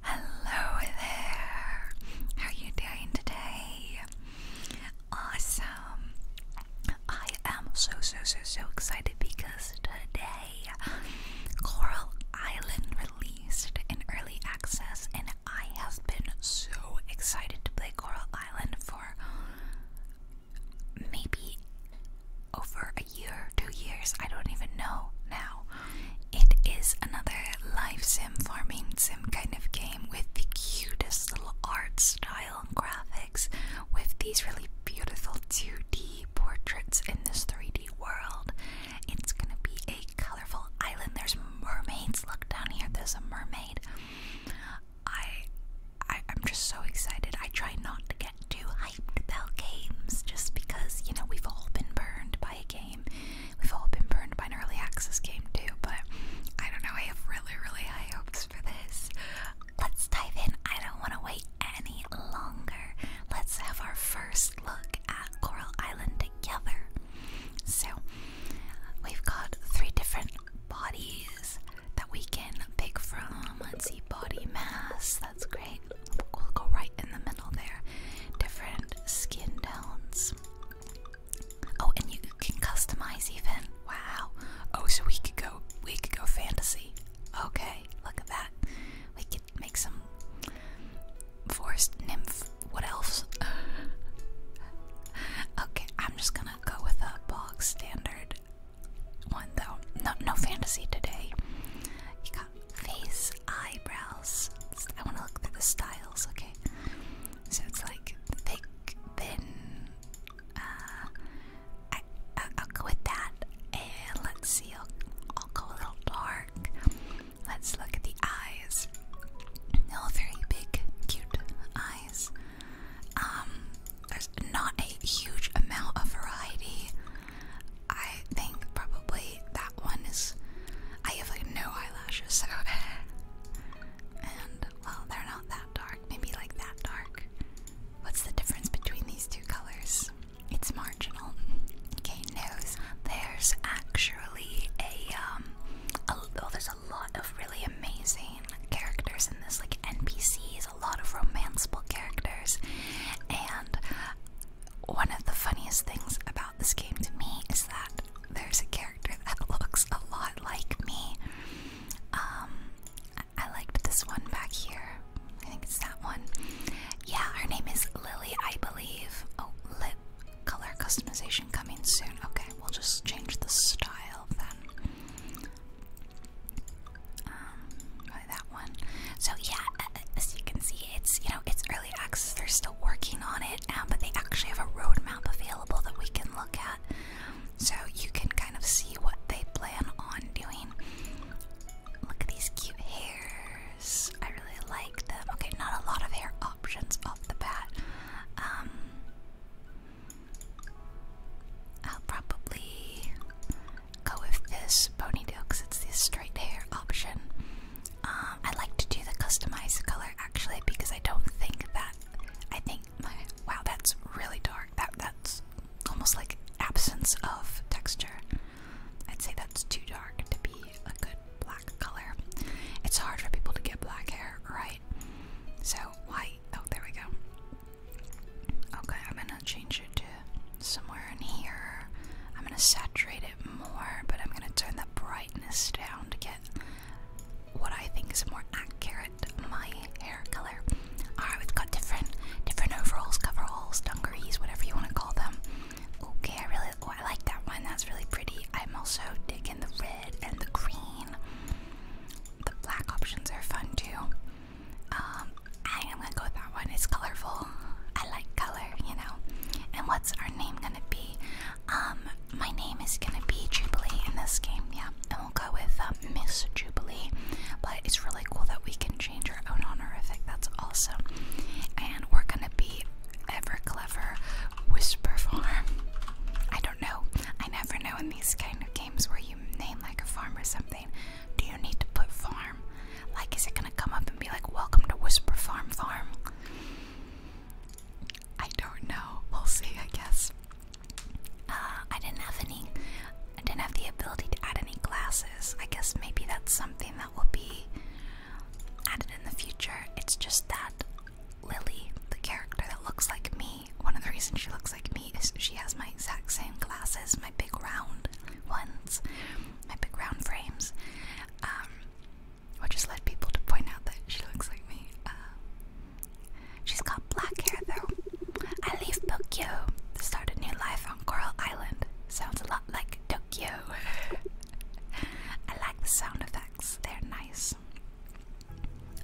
Hello there. How are you doing today? Awesome. I am so so so so excited because today Coral Island released in early access and I have been so excited to play Coral Island for maybe over a year, two years, I don't even know now. It is another live sim, farming sim kind of game with the cutest little art style and graphics, with these really beautiful 2D portraits in this 3D world. It's gonna be a colorful island. There's mermaids. Look down here, there's a mermaid. I, I I'm just so excited. I try not to get too hyped about games just because, you know, we've all been burned by a game. We've all been burned by an early access game too, but I don't know, I have really, really high hopes for this. Let's dive in. I don't want to wait any longer. Let's have our first look at Coral Island together. So, we've got three different bodies that we can pick from. Let's see, body mass, that's great we'll go right in the middle there. Different skin tones. Oh, and you can customize even. Wow. Oh, so we could go we could go fantasy. Okay, look at that. We could make some forest nymph. What else? okay, I'm just gonna go with a bog standard one though. No no fantasy today face eyebrows. I want to look at the styles, okay? So it's like thick, thin. Uh, I, will go with that. And let's see, I'll, go a little dark. Let's look at the eyes. All very big, cute eyes. Um, there's not a huge amount of variety. I think probably that one is. I have like no eyelashes, so. and, well, they're not that dark. Maybe like that dark. What's the difference between these two colors? It's marginal. Okay, nose. There's actually a, um, oh, there's a lot of really amazing characters in this, like NPCs, a lot of romanceable characters, and one of the funniest things about this game to me is that there's a character that looks a lot like me. Um, I, I liked this one back here. I think it's that one. Yeah, her name is Lily, I believe. Oh, lip color customization coming soon. Okay, we'll just change the style then. Um, that one. So yeah, as you can see, it's you know it's early they're still working on it, um, but they actually have a road map available that we can look at, so you can kind of see what they plan on doing. Look at these cute hairs. I really like them. Okay, not a lot of hair options off the bat. Um, I'll probably go with this ponytail because it's the straight hair option. Uh, I like to do the customized color actually because I don't think that I think my wow that's really dark. That that's almost like absence of texture. I'd say that's too dark to be a good black color. It's hard for people to get black hair, right? So white. Oh, there we go. Okay, I'm gonna change it to somewhere in here. I'm gonna saturate it more, but I'm going to turn the brightness down to get what I think is more accurate my hair color. Alright, we've got different different overalls, coveralls, dungarees, whatever you want to call them. Okay, I really oh, I like that one. That's really pretty. I'm also digging the red and the green. The black options are fun too. I'm um, gonna go with that one. It's colorful I like color, you know. And what's our name gonna be? Um, my name is gonna be Jubilee in this game, yeah. And we'll go with um, Miss Jubilee. But it's really cool that we can change our own honorific. That's awesome. And we're gonna be ever clever whisper farm. I don't know. I never know in these kind of games where you name like a farm or something. Do you need to put farm? Like, is it gonna come up and be like, "Welcome to Whisper Farm Farm"? I don't know. We'll see, I guess. Uh, I didn't have any. I didn't have the ability to add any classes. I guess maybe that's something that will be added in the future. It's just that Lily, the character that looks like me, one of the reasons she looks like me is she has my exact same glasses, my big round ones, my big round frames. Um, which just let people to point out that she looks like me. Uh, she's got black hair though. I leave Tokyo to start a new life on Coral Island. Sounds a lot like Tokyo. I like the sound effects, they're nice.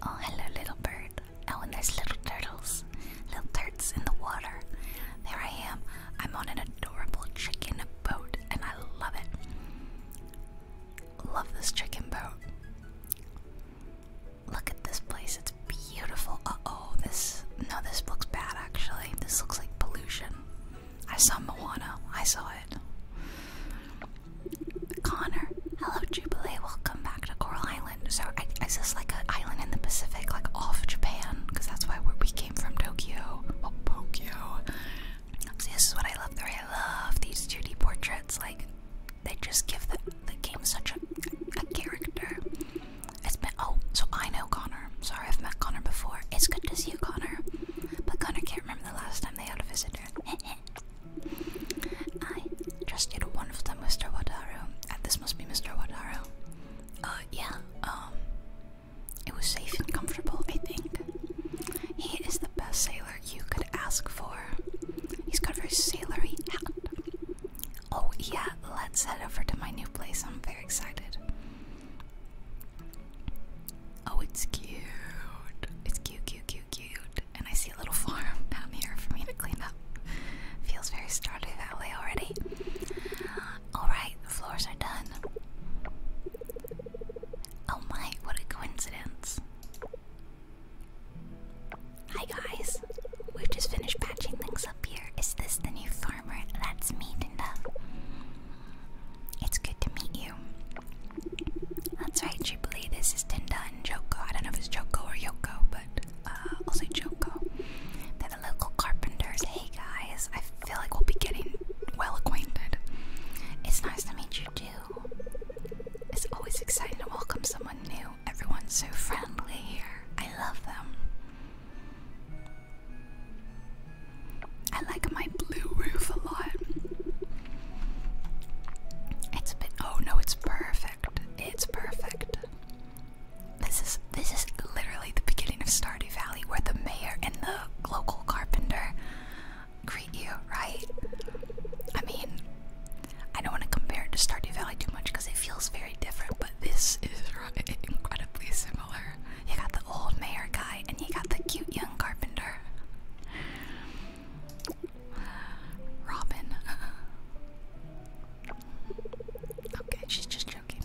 Oh, hello, little bird. Oh, and there's little turtles, little turds in the water. There I am. I'm on an adorable chicken boat, and I love it. Love this chicken boat. Look at this place, it's beautiful. Uh oh, this. No, this looks bad actually. This looks like pollution. I saw Moana, I saw it. Connor, hello Jubilee, welcome back to Coral Island. So, I, is this like an island in the Pacific, like off Japan? Because that's why we came from Tokyo. Well, oh, Tokyo this is what I love. There, I love these 2D portraits. Like, they just give the, game such a, a character. It's been oh, so I know Connor. Sorry, I've met Connor before. It's good to see you, Connor. But Connor can't remember the last time they had a visitor. I just did a wonderful time, Mr. Wadaru. Uh, this must be Mr. Wadaru. Uh, yeah. Um, it was safe and comfortable, I think. He is the best sailor you could ask for. He's got a very sailory hat. Oh, yeah, let's head over to my new place. I'm very excited. Oh, it's cute. It's cute, cute, cute, cute. And I see a little farm down here for me to clean up. Feels very Stardew Valley already. Alright, the floors are done. Oh my, what a coincidence. Hi guys, we've just finished patching things up here. Is this the new farmer? That's me, Dinda. It's good to meet you. That's right, Jubilee, this is Dinda and Joko. I don't know if it's Joko or Yoko, but uh, I'll say Joko. They're the local carpenters. Hey guys, I've feel like we'll be getting well acquainted. It's nice to meet you too. It's always exciting to welcome someone new. Everyone's so friendly here. I love them. I like my blue roof a lot. It's a bit oh no, it's perfect. It's perfect. This is this is literally the beginning of Stardy Valley where the mayor and the local carpenter greet you, right? I mean, I don't want to compare it to Stardew Valley too much because it feels very different, but this is incredibly similar. You got the old mayor guy and you got the cute young carpenter. Robin. Okay, she's just joking.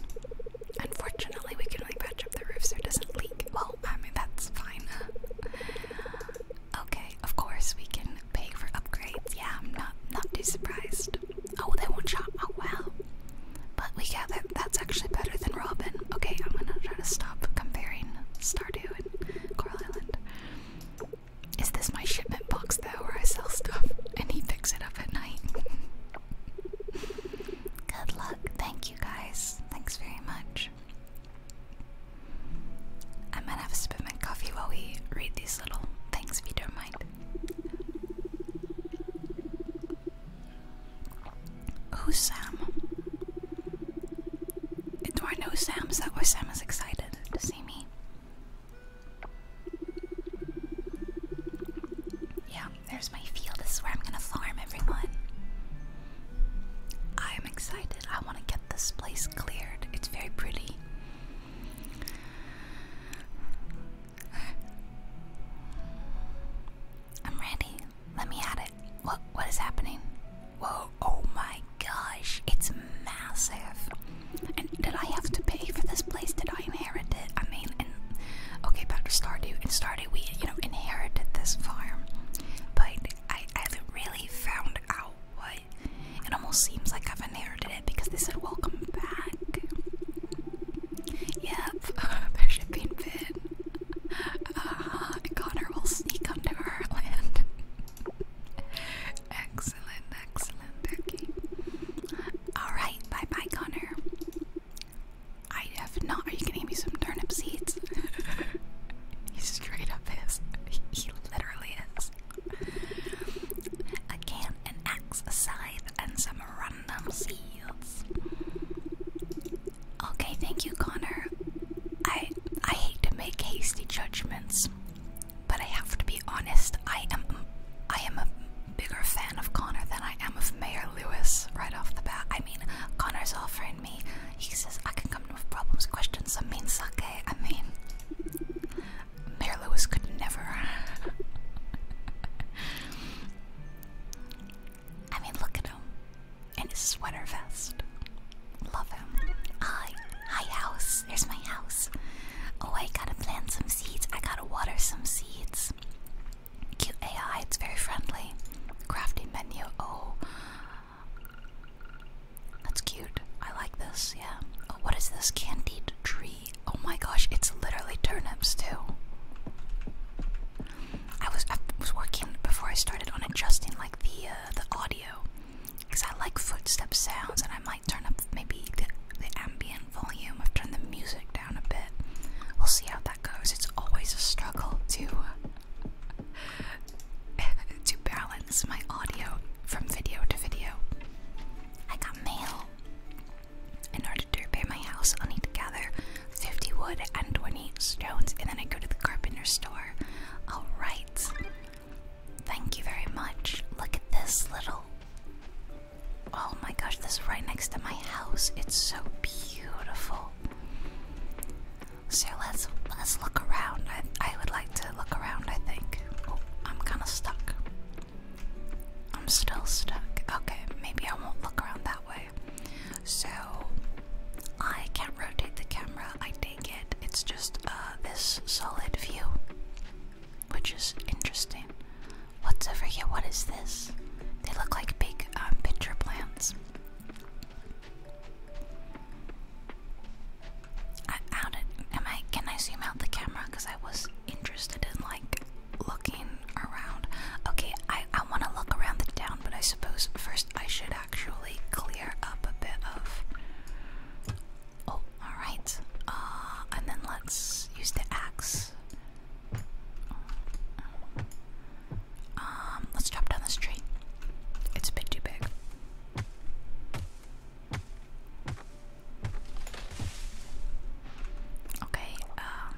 Unfortunately, we can only patch up the roof so it doesn't leak. Well, I mean, that's fine. okay, of course, we can pay for upgrades. Yeah, I'm not, not too surprised. Oh, they won't shop. Oh, wow. But we got that. That's actually better than Robin. Okay, I'm gonna try to stop comparing Stardew and Coral Island. Is this my shipment box though, where I sell stuff and he picks it up at night? Good luck. Thank you guys. Thanks very much. I might have a sip of my coffee while we read these little things if you don't mind. Who's Sam? Do I know Sam? Is that why Sam is excited to see me? Yeah, there's my field. This is where I'm gonna farm everyone. I am excited. I want to get this place cleared. It's very pretty. I'm ready. Let me at it. What what is happening? Whoa, oh my gosh, it's massive. And did I have to pay for this place? Did I inherit I mean, Okay, back to Stardew. In Stardew, we you know inherited this farm, but I, haven't really found out what. It almost seems like I've inherited it because they said welcome back. Yep, there should be Finn. Uh, ah, Connor will sneak onto our land. excellent, excellent, Becky. All right, bye, bye, Connor. I have not. Are you gonna give me some turnip seeds? He's straight up is. He literally is. A can, an axe, a scythe, and some random seeds. Okay, thank you, Connor. I I hate to make hasty judgments, but I have to be honest. I am I am a bigger fan of Connor than I am of Mayor Lewis right off the bat. I mean, Connor's offering he says I can come with problems, questions, I mean sake. I mean Mayor Lewis could never I mean look at him. In his sweater vest. Love him. Hi. Hi house. Here's my house. Oh I gotta plant some seeds. I gotta water some seeds. Cute AI, it's very friendly. Crafty menu, oh. That's cute. I like this, yeah. Oh, what is this? Candied tree. Oh my gosh, it's literally turnips too. I was I was working before I started on adjusting like the uh, the audio because I like footsteps sounds and I might turn up maybe the, the ambient volume. I've turned the music down a bit. We'll see how that goes. It's always a struggle too. Uh, to balance my audio from video to video. I got mail. In order to repair my house, I'll need to gather 50 wood and 20 stones, and then I go to the carpenter store. Alright. Thank you very much. Look at this little. Oh my gosh, this is right next to my house. It's so beautiful. So let's let's look around. I I would like to look around. I think. Oh, I'm kind of stuck. I'm still stuck. Okay, maybe I won't look around that way. So I can't rotate the camera. I take it. It's just uh, this solid view, which is interesting. What's over here? What is this? They look like big um, picture plants. I, how am I? Can I zoom out the camera? Cause I was interested in like looking around. Okay, I I want to look around the town, but I suppose first I should actually clear up a bit of. Oh, all right. Uh, and then let's use the axe. Um, let's chop down the street. It's a bit too big. Okay, um,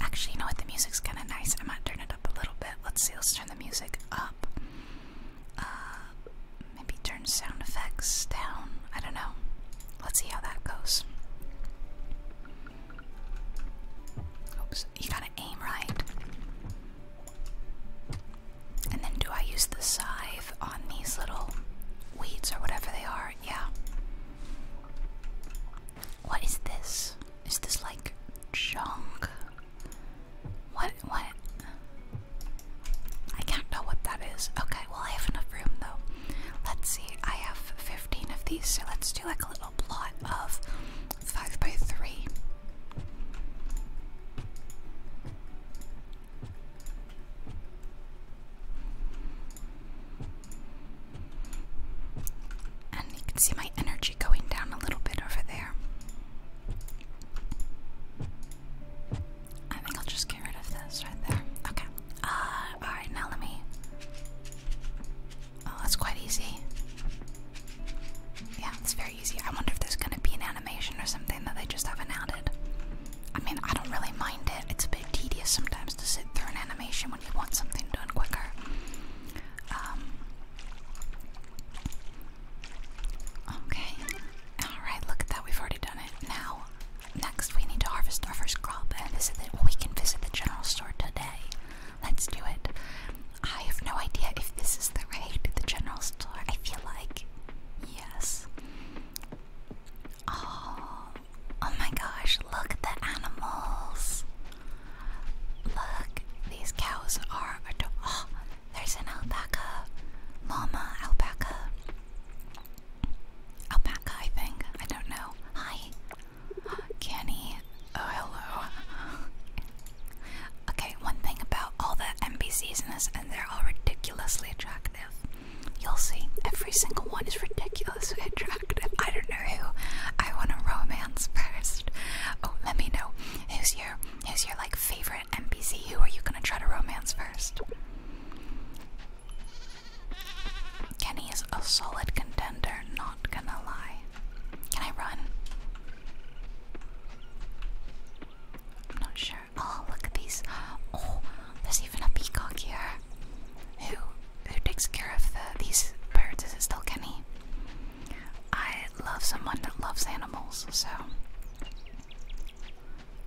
Actually, you know what? The music's kinda nice. I might turn it up a little bit. Let's see, let's turn the music up. Uh, maybe turn sound effects down. I don't know. Let's see how that goes. Oops, you gotta aim right. And then do I use the scythe on these little weeds or whatever they are? Yeah. What is this? Is this like junk? What what I can't know what that is. Okay, well I have enough room though. Let's see. I have 15 of these, so let's do like a little plot of 5 by 3. And you can see my energy going down a little bit over there. I think I'll just get rid of this right there. Okay. Uh, alright, now let me Oh, that's quite easy. Yeah, it's very easy. I wonder if there's gonna be an animation or something that they just haven't added. I mean, I don't really mind it. It's a bit tedious sometimes to sit through an animation when you want something done quicker. Um, okay. Alright, look at that. We've already done it. Now, next we need to harvest our first crop and we can visit the general store today. Let's do it. I have no idea if this is the raid, the general store. I feel like yes. Oh, oh my gosh, look at the animals. Look, these cows are adorable. Oh, there's an alpaca. Mama alpaca. Alpaca, I think. I don't know. Hi. Kenny. Oh, hello. okay, one thing about all the NPCs in this, and they're all ridiculously attractive. You'll see, every single one is ridiculously attractive. I don't know who I want to romance first. Oh, let me know. Who's your, who's your like favorite NPC? Who are you gonna try to romance first? Kenny is a solid contender. Not not gonna lie. Can I run? I'm not sure. Oh, look at these. Oh, there's even a peacock here. Who who takes care of the, these birds? Is it still Kenny? I love someone that loves animals, so.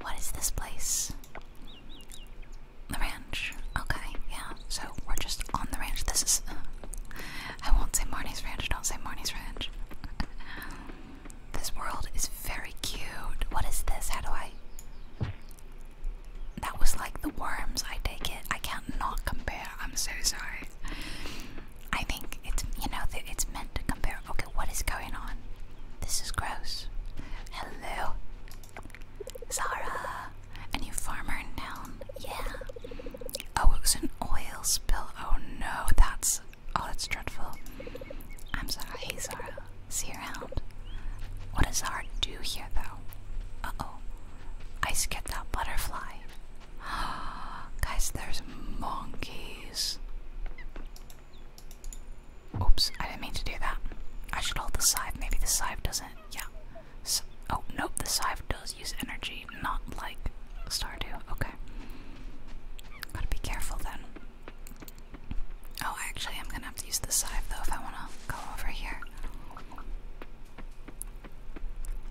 What is this place? The ranch. Okay, yeah. So we're just on the ranch. This is I won't say Marnie's Ranch. Don't say Marnie's Ranch. this world is very cute. What is this? How do I. That was like the worms, I take it. I can't not compare. I'm so sorry. I think it's, you know, it's meant to compare. Okay, what is going on? This is gross. Hello. Zara. A farmer in Yeah. Oh, it was an oil spill. Oh no, that's oh that's dreadful. I'm sorry. Hey Zara. See you around. What does Zara do here though? Uh oh. I skipped that butterfly. Guys, there's monkeys. Oops, I didn't mean to do that. I should hold the scythe. Maybe the scythe doesn't yeah. oh, nope, the Scythe does use energy, not like Star Two. Okay. Gotta be careful then. Oh, actually, I'm gonna have to use the Scythe though if I wanna go over here.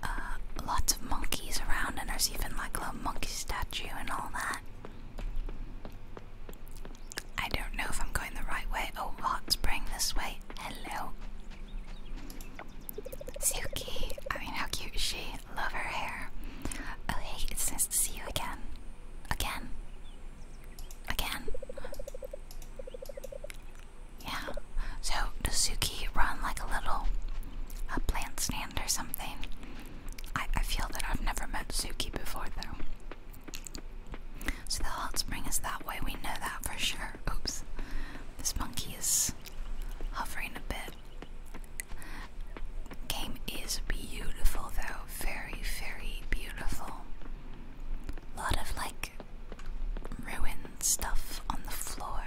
Uh, lots of monkeys around, and there's even like a monkey statue and all that. I don't know if I'm going the right way. Oh, hot spring this way. Hello. Suki, I mean, how cute is she? Love her hair. Oh, hey, it's nice to see you again. Again. Again. Yeah. So, does Suki run like a little a plant stand or something? I, I feel that I've never met Suki before, though. So, the hot spring is that way. We know that for sure. Oops. This monkey is hovering a bit. Game is beautiful though, very, very beautiful. lot of like ruined stuff on the floor.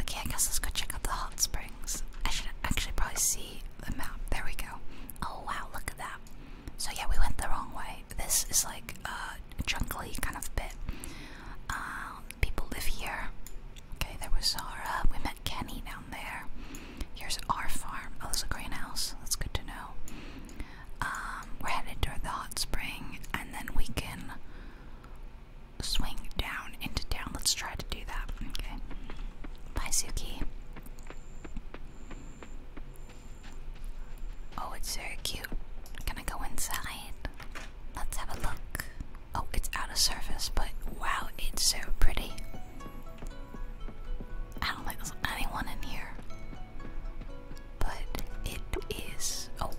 Okay, I guess let's go check out the hot springs. I should actually probably see the map. There we go. Oh wow, look at that. So yeah, we went the wrong way this is like a jungly kind of bit. Um, people live here. Okay, there was Zara. Uh, we met Kenny down there. Here's our farm. Oh, there's a greenhouse. That's good to know. Um, we're headed toward the hot spring, and then we can swing down into town. Let's try to do that. Okay. Bye, Suki. Oh, it's very cute. Can I go inside? Let's have a look. Oh, it's out of service. but wow, it's so pretty. I don't think there's anyone in here. But it is. Oh,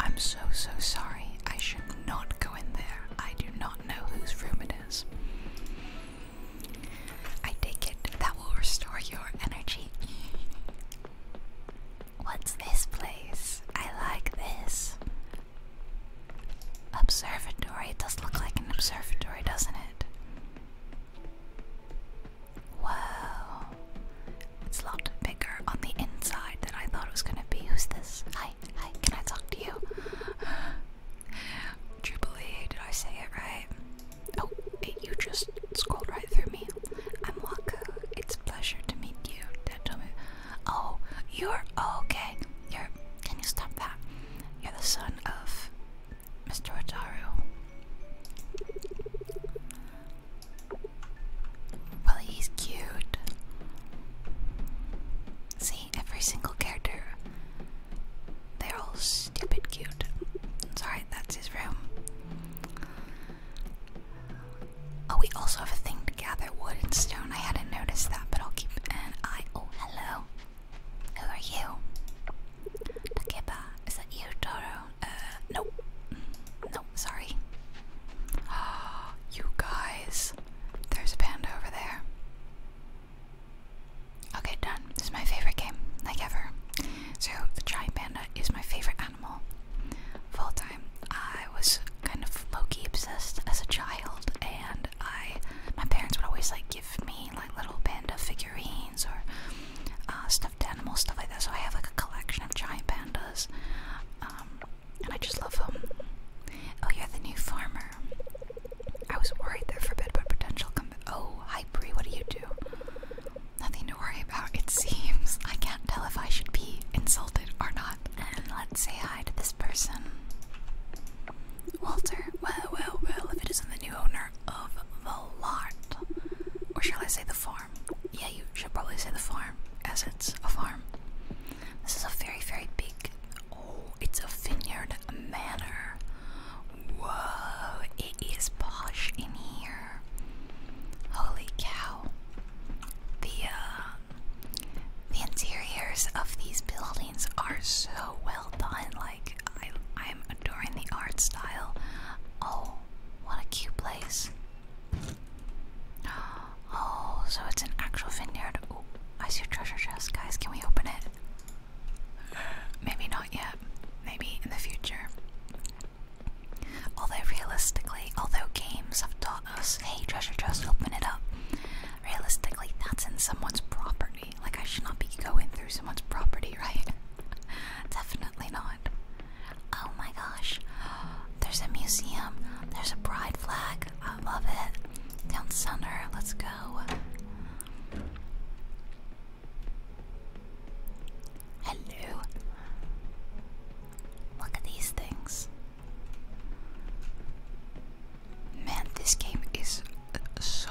I'm so, so sorry. I should not go in there. I do not know whose room it is. I take it that will restore your energy. What's this place? I like this. Observatory. It does look like an observatory, doesn't it? Wow. It's a lot bigger on the inside than I thought it was gonna be. Who's this? Hi, hi, can I talk to you? Jubilee, did I say it right? Oh, you just scrolled right through me. I'm Waku. It's a pleasure to meet you. Detomi. Oh, you're oh, okay. You're. Can you stop that? You're the son of Mr. Wataru. Well, he's cute. See, every single character, they're all stupid cute. Sorry, that's his room. Oh, we also have a thing to gather wood and stone. I hadn't noticed that, but I'll keep an eye. Oh, hello. Who are you? Takeba. Is that you, Toro? Uh, no. No, sorry. Ah, you guys. There's a panda over there. Okay, done. This is my favorite game, like ever. So, the giant panda is my favorite animal full time. I was kind of Loki obsessed as a child, and I my parents would always like give me like little panda figurines or uh, stuffed animals, stuff like that. So I have like a collection of giant pandas, um, and I just love them. Oh, you're the new farmer. I was worried there for a bit about potential. Com oh, hi Bree, what do you do? Nothing to worry about, it seems. I can't tell if I should be insulted or not. And let's say hi to this person. Walter, well, well, well, if it isn't the new owner of the lot. Or shall I say the farm? Yeah, you should probably say the farm, as it's a farm. This is a very, very big. Oh, it's a vineyard manor. Whoa, it is posh in here. Holy cow. The uh, the interiors of these buildings are so well done. Like I I'm adoring the art style. Oh, what a cute place. Oh, so it's an actual vineyard. Ooh, I see a treasure chest. Guys, can we open it? Maybe not yet. Maybe in the future. Although realistically, although games have taught us, hey treasure chest, open it up. Realistically, that's in someone's property. Like I should not be going through someone's property, right? Definitely not. Oh my gosh. There's a museum. There's a pride flag. I love it. Down center, let's go. Hello. Look at these things. Man, this game is so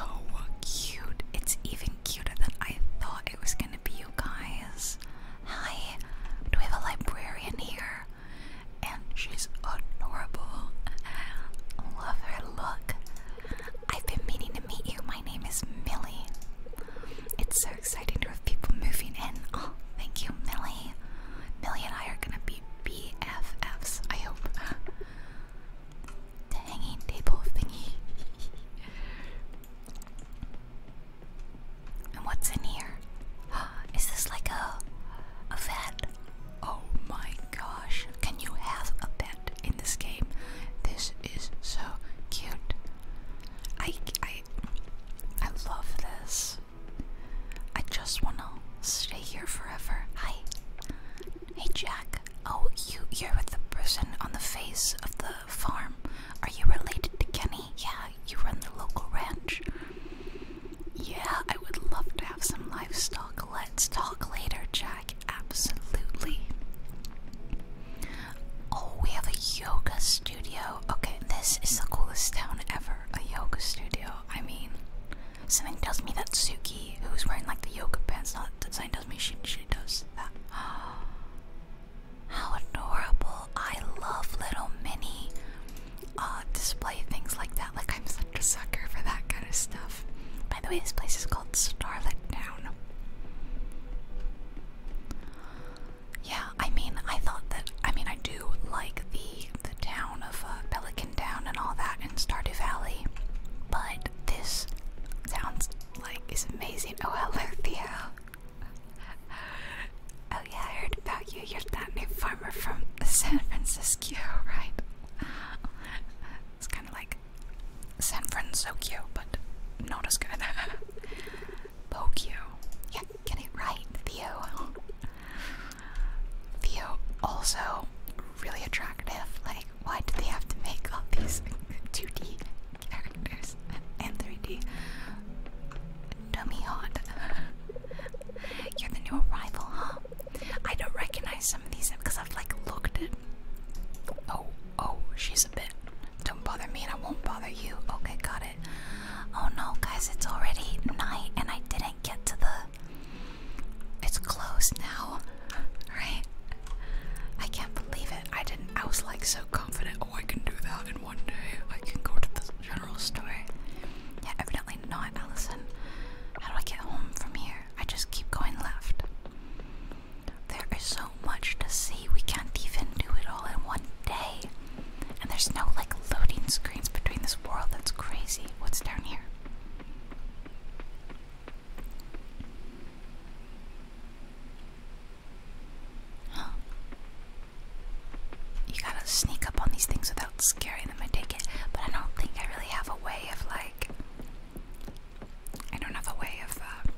cute. It's even cuter than I thought it was gonna be, you guys. Hi, do we have a librarian here? And she's adorable. Love her look. I've been meaning to meet you. My name is Millie. It's so exciting to have people moving in. Oh, thank you, Millie. Millie and I are gonna be BFFs, I hope. the hanging table thingy. and what's in here? Is this like a a vet? Oh my gosh. Can you have a pet in this game? This is so cute. I I I love this. I just wanna stay here forever. Hi. Hey Jack. Oh, you you're with the person on the face of the farm. Are you related to Kenny? Yeah, you run the local ranch. Yeah, I would love to have some livestock. Let's talk later, Jack. Absolutely. Oh, we have a yoga Okay, this is the coolest town ever. A yoga studio. I mean, something tells me that Suki, who's wearing like the yoga pants, not that design, tells me she she does that. How adorable! I love little mini uh, display things like that. Like I'm such a sucker for that kind of stuff. By the way, this place is called Starlet Town. Yeah, I mean, I thought that. I mean, I do like the the town of uh, Pelican Town and all that in Stardew Valley, but this sounds like is amazing. Oh, hello, Theo. Oh yeah, I heard about you. You're that new farmer from San Francisco, right? It's kind of like San Francisco, but not as good. poke you. Yeah, get it right, Theo. Theo also really attractive. Like, why do they have to make all these 2D characters and 3D? Dummy You're the new arrival, huh? I don't recognize some of these because I've like looked at. Oh, oh, she's a bit. Don't bother me and I won't bother you. Okay, got it. Oh no, guys, it's already night and I didn't get to the. It's closed now, right? I can't believe it. I didn't. I was like so confident. Oh, I can do that in one day. I can go to the general store. Yeah, evidently not, Allison. How do I get home from here? I just keep going left. There is so much to see. We can't even do it all in one day. And there's no like loading screens between this world. That's crazy. What's down here? You gotta sneak up on these things without scaring them, I take it. But I don't think I really have a way of like. I don't have a way of uh,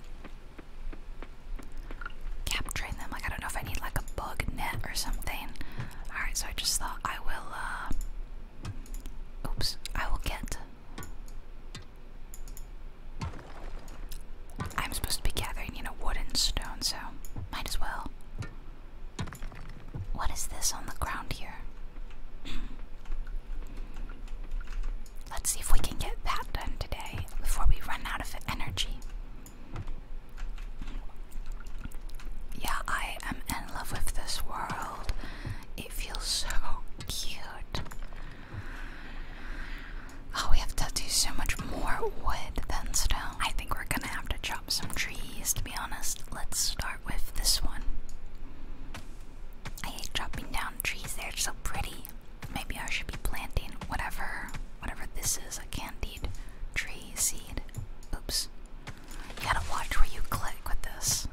capturing them. Like I don't know if I need like a bug net or something. Alright, so I just thought I will uh, oops, I will get I'm supposed to be gathering, in a wooden stone, so might as well. What is this on the ground here? Let's see if we can get that done today before we run out of energy. Yeah, I am in love with this world. It feels so cute. Oh, we have to do so much more wood than stone. I think we're gonna have to chop some trees, to be honest. Let's start with this one. I hate chopping down trees, they're so pretty. Maybe I should be planting whatever whatever this is, a candied tree seed. Oops. You gotta watch where you click with this.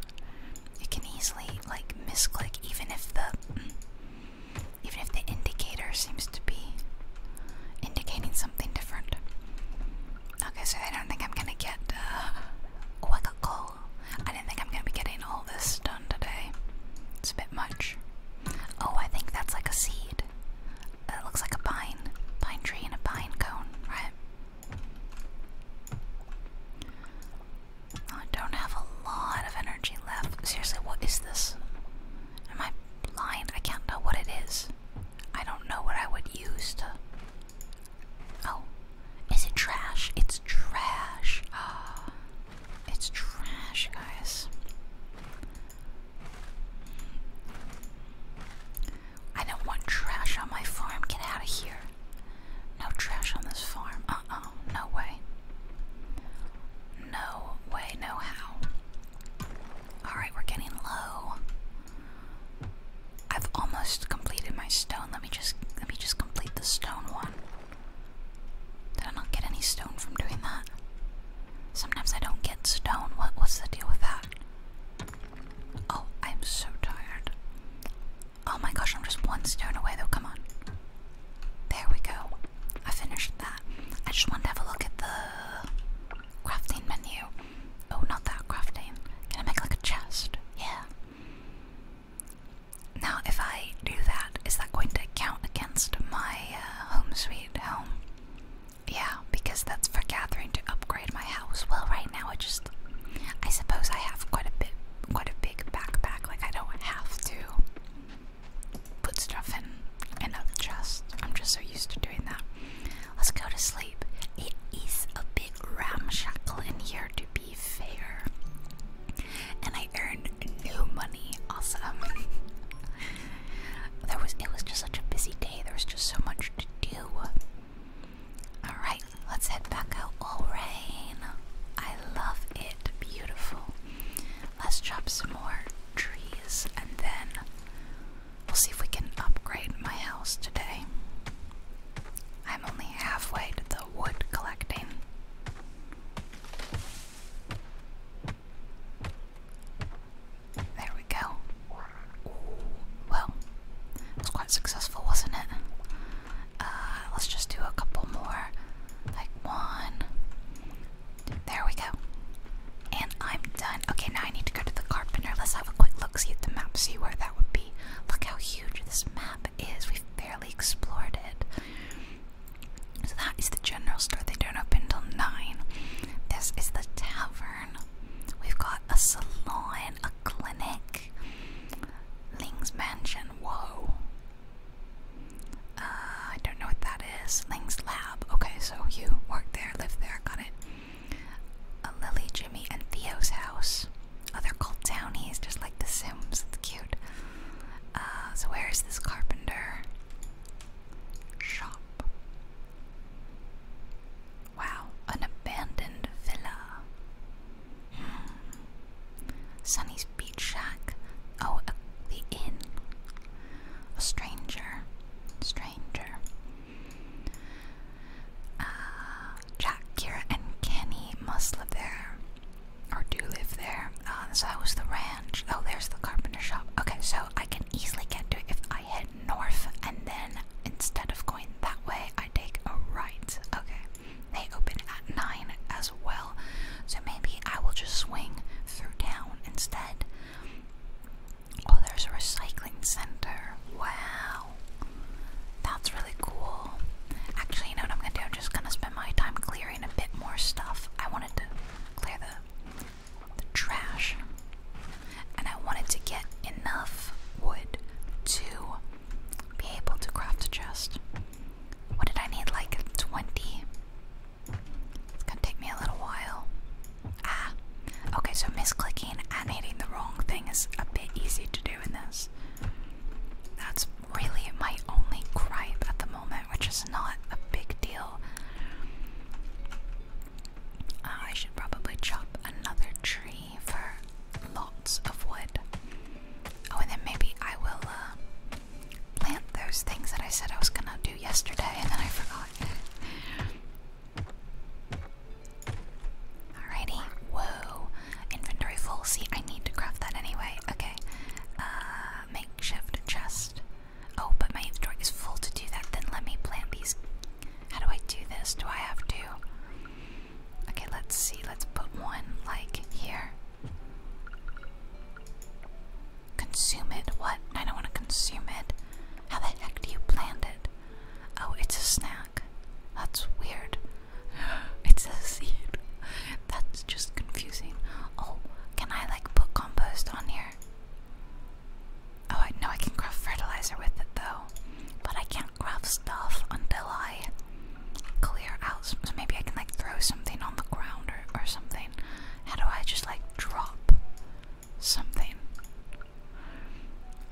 You can easily like misclick even if the even if the indicator seems to be indicating something different. Okay, so I don't think I'm gonna get uh oh I I didn't think I'm gonna be getting all this done today. It's a bit much. Oh, I think that's like a seed. It looks like a pine, pine tree and a pine cone, right? I don't have a lot of energy left. Seriously, what is this? Am I blind? I can't know what it is. I don't know what I would use to. Oh, is it trash? It's trash. Ah, It's trash, guys. I don't want trash on my farm. Get out of here. No trash on this farm. Uh uh. No way. No way, no how. Alright, we're getting low. I've almost completed my stone. Let me just let me just complete the stone one. Did I not get any stone from doing that? Sometimes I don't get stone. What was the deal with that? Oh, I'm so tired. Oh my gosh, I'm just one stone away though. Come on. There we go. I finished that. I just want to have a look at the crafting menu. Oh, not that crafting. Can I make like a chest? Yeah. Now, if I do that, is that going to count against my uh, home sweet home? Yeah, because that's for gathering to upgrade my house. Well, right now I just, I suppose I have quite a bit, quite a big backpack. Like I don't have to put stuff in another chest. I'm just so used to doing that. Let's go to sleep. It is a bit ramshackle in here, to be fair. And I earned new money. Awesome. There was it was just such a busy day. There was just so much to do. All right, let's head back out. All rain. I love it. Beautiful. Let's chop some more trees and then we'll see if we can upgrade my house today. I'm only halfway to the wood collecting. There we go. well, it quite successful, wasn't it? Uh, let's just do a couple more. Like one. There we go. And I'm done. Okay, now I need to go to the carpenter. Let's have a quick look, see the map, see where that would be. Look how huge this map is. We've barely explored it. So that is the general store. They don't open until 9. This is the tavern. We've got a salon, a clinic, Ling's mansion. Whoa. Uh, I don't know what that is. Ling's lab. Okay, so you work there, live there, got it. A uh, Lily, Jimmy, and Theo's house. Oh, they're called Townies, just like The Sims. It's cute. Uh, so where is this carpenter shop? Wow, an abandoned villa. Hmm. Sunny's beach shack. Oh, uh, the inn. A stranger. Stranger. Uh, Jack, Kira, and Kenny must live there. Or do live there. Uh, so that was the ranch. Oh, there's the carpenter shop. Okay, so I can easily get to it if I head north and then instead of going that way, I take a right. Okay, they open at 9 as well, so maybe I will just swing through town instead. Oh, there's a recycling center. Wow. That's really cool. Actually, you know what I'm gonna do? I'm just gonna spend my time clearing a bit more stuff. I wanted to clear the the trash. And I wanted to get enough wood to be able to craft a chest. What did I need? Like 20? It's gonna take me a little while. Ah, okay, so misclicking and hitting the wrong thing is a bit easy to do in this. That's really my only gripe at the moment, which is not a big deal. Uh, I should probably chop another tree for lots of wood. Oh, and then maybe I will uh, plant those things that I said I was gonna do yesterday and then I forgot. Alrighty, whoa. Inventory full. See, I need to craft that anyway. Okay, uh, chest. Oh, but my inventory is full to do that. Then let me plant these. How do I do this? Do I have to? Okay, let's see. Let's put one like here. Consume it? What? I don't want to consume it. How the heck do you plant it? Oh, it's a snack. That's weird. It's a seed. That's just confusing. Oh, can I like put compost on here? Oh, I know I can craft fertilizer with it though, but I can't craft stuff until I clear out. So maybe I can like throw something on the ground or, or something. How do I just like drop something?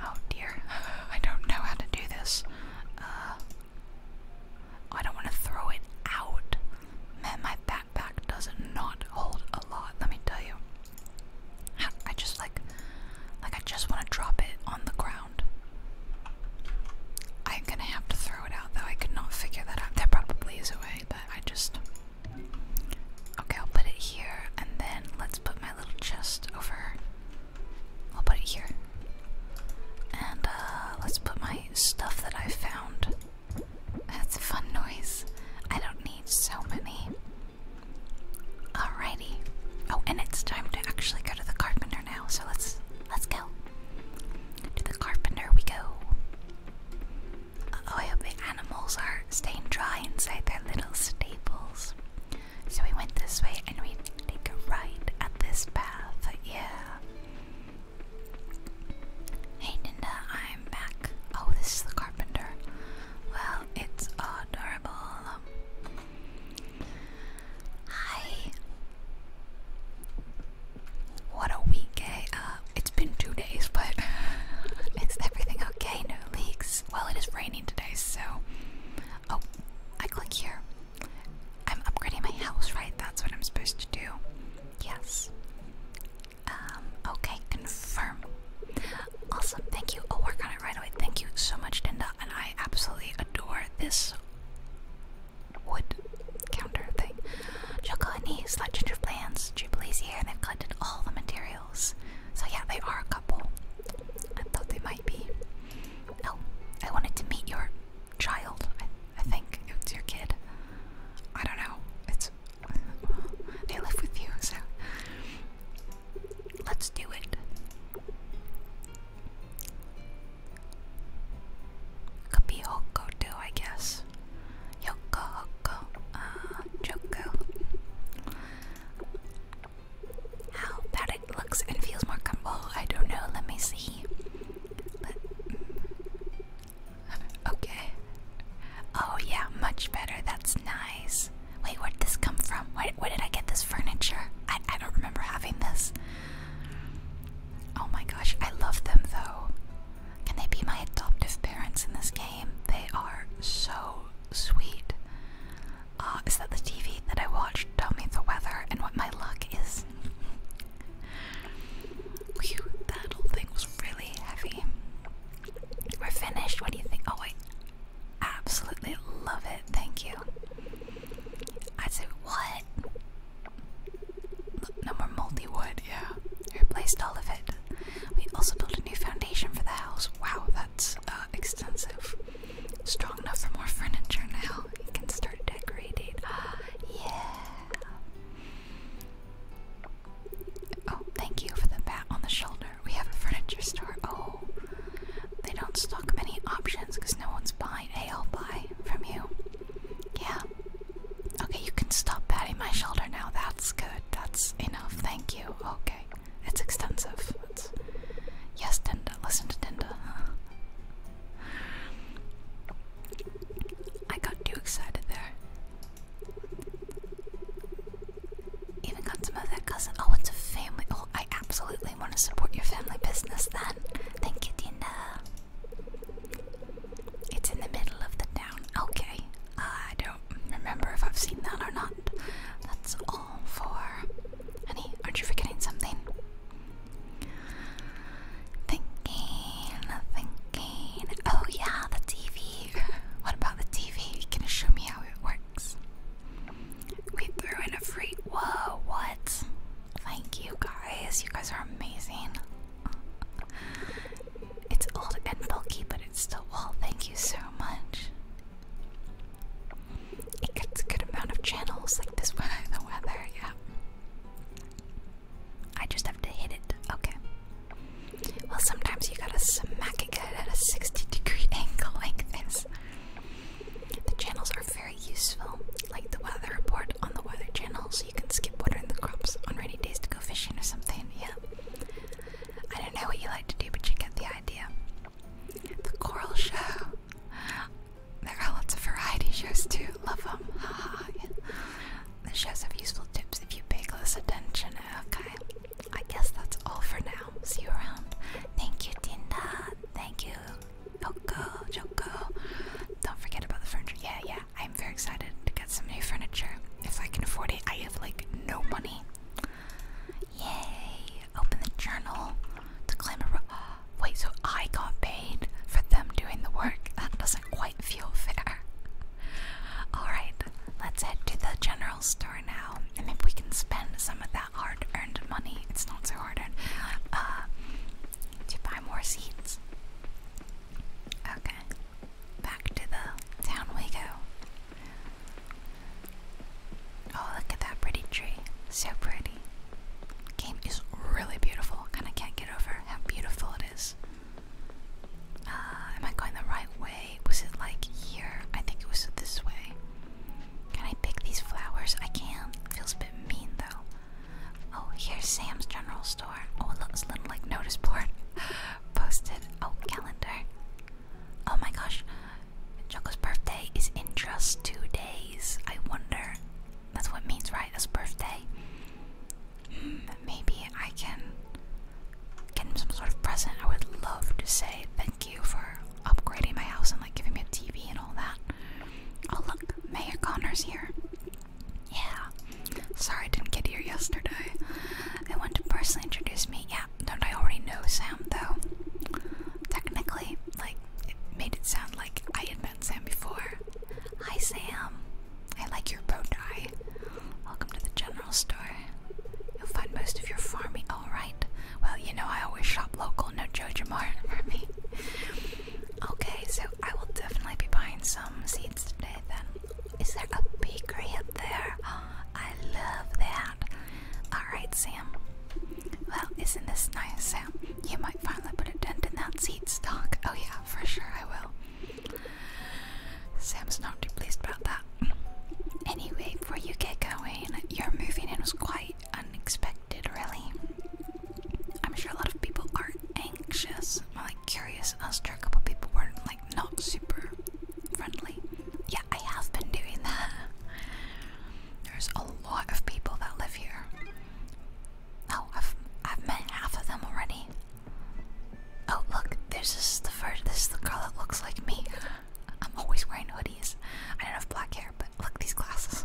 Oh dear, I don't know how to do this. Uh, oh, I don't want to throw it out. Man, my backpack does not hold a lot, let me tell you. I just like, like I just want to drop it on the ground. I'm gonna have to throw it out though. I could not figure that out. There probably is a way, but I just. Okay, I'll put it here, and then let's put my little chest over. I'll put it here. And uh, let's put my stuff that I found. That's a fun noise. I don't need so many. Alrighty. Oh, and it's time to actually go to the carpenter now. So let's let's go. To the carpenter we go. oh, I hope the animals are staying dry inside their little stables. So we went this way and we take a right at this path. Yeah. Hey Nina. I'm back. Oh, this is the carpenter. Well, it's adorable. Hi. What a week, eh? uh, it's been two days, but is everything okay? No leaks. Well, it is raining today, so. Oh, I click here. I'm upgrading my house, right? That's what I'm supposed to do. Yes. Um, okay, confirm. Awesome, thank you. I'll work on it right away. Thank you so much, Dinda. And I absolutely adore this wood counter thing. Chocolate slight ginger plants, Jubilee's here, they've collected all the materials. So yeah, they are a couple. I thought they might be. Oh, I wanted to meet your child. I think it's your kid. I don't know. It's they live with you, so Let's do it. Could be Hokko too, I guess. Yoko Hokko, uh, Joko. How bad it looks and feels more comfortable, I don't know. Let me see. Let okay. Oh, yeah, much better. That's nice. Wait, where did this come from? Where, did I get this furniture? I, don't remember having this. Oh my gosh, I love them though. Can they be my adoptive parents in this game? They are so sweet. Uh, is that the TV that I watched? Tell me the weather and what my luck is. that whole thing was really heavy. We're finished. What do you think? Oh, wait absolutely love it. Thank you. i say, what? No more multi wood, yeah. We replaced all of it. We also built a new foundation for the house. Wow, that's uh, extensive. Strong enough for more furniture now. You can start decorating. Ah, yeah. Oh, thank you for the pat on the shoulder. We have a furniture store. Oh, they don't stock many options because no one's buying. Hey, i buy from you. Yeah. Okay, you can stop patting my shoulder now. That's good. That's enough. Thank you. Okay. It's extensive. Yes, Dinda. Listen to Dinda. I got too excited there. Even got some of their cousin. Oh, it's a family. Oh, I absolutely want to support your family business then. Thank you, Tina. It's in the middle of the town. Okay. Uh, I don't remember if I've seen that or not. That's all for. Honey, aren't you forgetting something? Thinking, thinking. Oh, yeah, the TV. What about the TV? You Can you show me how it works? We threw in a free. Whoa, what? Thank you guys. You guys are amazing. It's old and bulky, but it's still well. Thank you so much. It gets a good amount of channels like this one. The weather, yeah. I just have to hit it. Okay. Well, sometimes you gotta smack it at a 60 degree angle like this. The channels are very useful, like the weather report on the weather channel, so you can skip watering the crops on rainy days to go fishing or something. Yeah. I don't know what you like to do, but you get the idea. The Coral Show. There are lots of variety shows too. Love them. Haha. yeah. The shows have useful tips if you pay close attention. Okay. I guess that's all for now. See you around. Thank you, Tinda. Thank you, Joko, Joko. Don't forget about the furniture. Yeah, yeah. I'm very excited to get some new furniture. If I can afford it, I have like no money. Yay! Open the journal to claim a. Wait, so I got paid for them doing the work? That doesn't quite feel fair. Alright, let's head to the general store now and if we can spend some of that hard-earned money, it's not so hard-earned, uh, to buy more seeds. Okay, back to the town we go. Oh, look at that pretty tree. So pretty. Game is really beautiful. Kinda can't get over how beautiful it is. Uh, am I going the right way? way. Was it like here? I think it was this way. Can I pick these flowers? I can. Feels a bit mean though. Oh, here's Sam's General Store. Oh, it looks a little like notice board. Posted. Oh, calendar. Oh my gosh. Choco's birthday is in just two days. I wonder. That's what means, right? As birthday. Mm, maybe I can get him some sort of present. I would love to say thank you for upgrading my house and like giving me a TV and all that. Oh look, Mayor Connor's here. Yeah. Sorry I didn't get here yesterday. They want to personally introduce me. Yeah, don't I already know Sam though? Technically, like it made it sound like I had met Sam before. Hi Sam. I like your bow tie. Welcome to the channel store. You'll find most of your farming. All right. Well, you know I always shop local. No Jojo Martin for me. okay, so I will definitely be buying some seeds today. Then, is there a bakery up there? Oh, I love that. All right, Sam. Well, isn't this nice, Sam? You might finally put a dent in that seed stock. Oh yeah, for sure I will. Sam's not too pleased about that anyway, before you get going, your moving in was quite unexpected, really. I'm sure a lot of people are anxious, more like curious, i and sure a couple people were like not super friendly. Yeah, I have been doing that. There's a lot of people that live here. Oh, I've I've met half of them already. Oh look, there's this the first this is the girl that looks like me. I'm always wearing hoodies. I don't have black hair, but look these glasses.